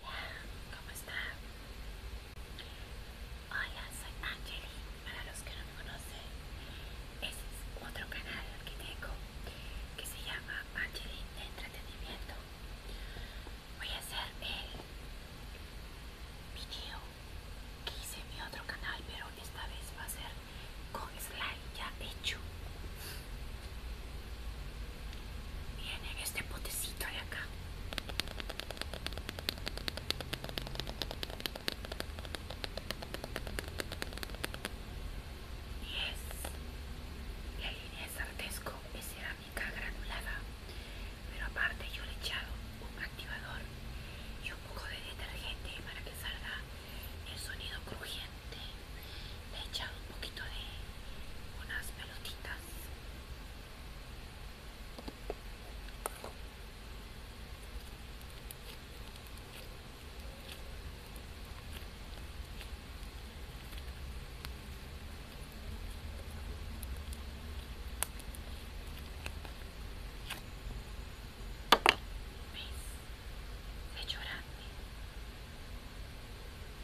Hola, ¿cómo están? Hola, soy Angeli. Para los que no me conocen, ese es otro canal que tengo que se llama Angeli Entretenimiento. Voy a hacer el video que hice en mi otro canal, pero esta vez va a ser con slide ya hecho. Viene este potecito de acá. Y es la línea Sartesco es cerámica granulada, pero aparte yo le he echado un activador y un poco de detergente para que salga el sonido crujiente le he echado un poquito de unas pelotitas ¿Ves? Se grande.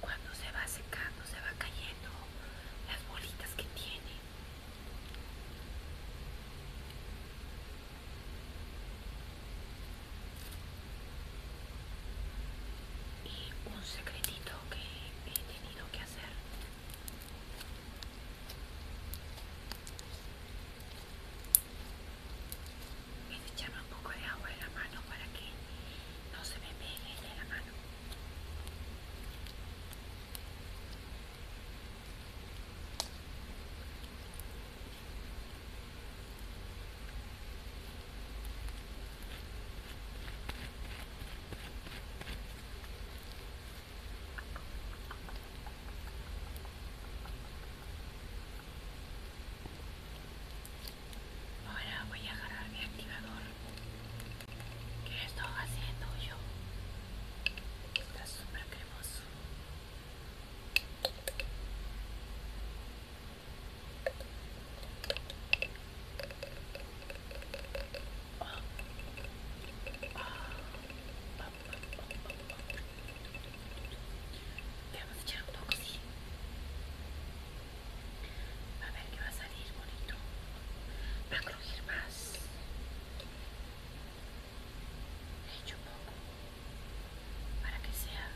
Cuando se va secando, se va cayendo las bolitas que tiene. Y un secretito que he tenido que hacer a echarme un poco de agua en la mano para que no se me pegue de la mano. Ahora voy a agarrar mi activador ¿Qué estoy haciendo yo. Está súper cremoso vamos a echar un toque, así A ver qué va a salir bonito. Va a crujir más. Le echo un poco para que sea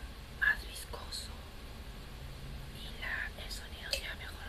más viscoso y el sonido sea mejor.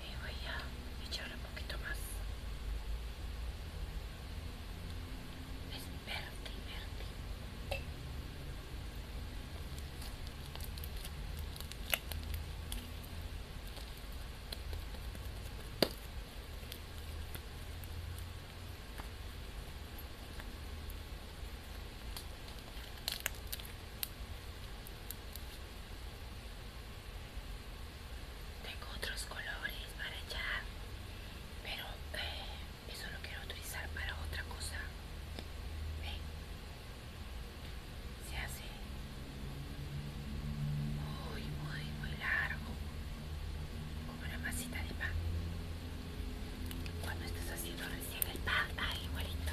y voy a echar un poquito más es verde, verde tengo otros colores para allá, pero eh, eso lo quiero utilizar para otra cosa. ¿Ven? Se hace muy, muy, muy largo, como una masita de pan. Cuando estás haciendo recién el pan, ahí igualito.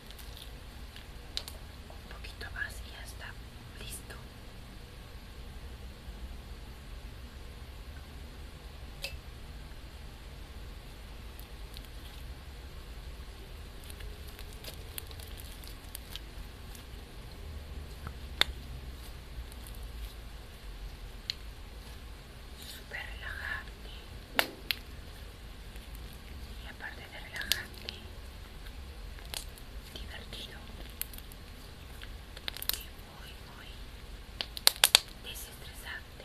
un poquito más y ya está listo super relajante y aparte de relajante, divertido y muy, muy desestresante.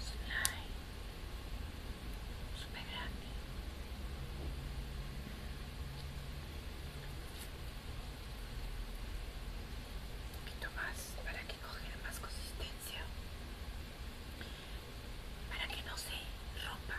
Slime. Super grande. Un poquito más para que cogiera más consistencia. Para que no se rompa.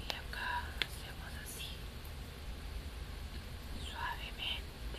Y acá hacemos así suavemente.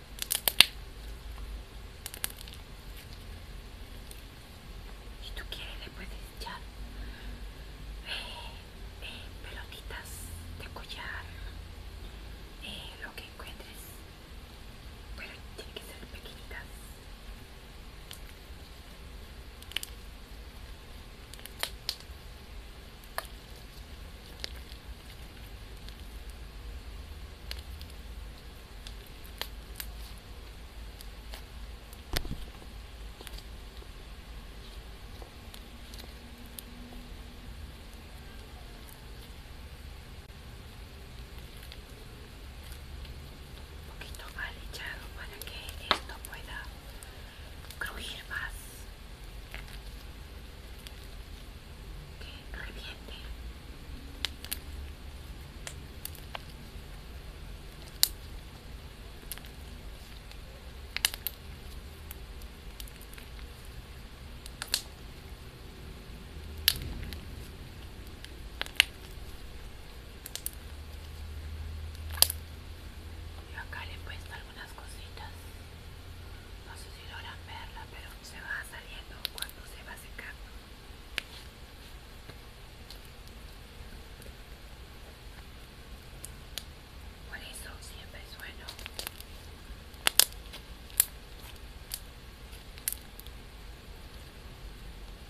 Si tú quieres le puedes echar eh, eh, pelotitas de collar, eh, lo que encuentres, pero tienen que ser pequeñitas un poquito mal echado para que esto pueda crujir más que reviente y acá le he puesto unas cositas no sé si logran verla pero se va saliendo cuando se va secando por eso siempre sueno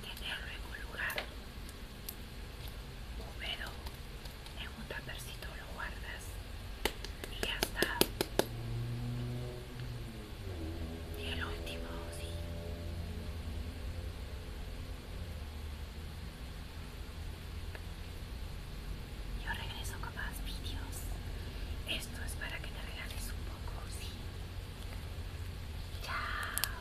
tener tenerlo un lugar húmedo en un tapercito lo guardas y ya está. Y el último, sí. Yo regreso con más vídeos. Esto es para que te regales un poco, sí. Chao.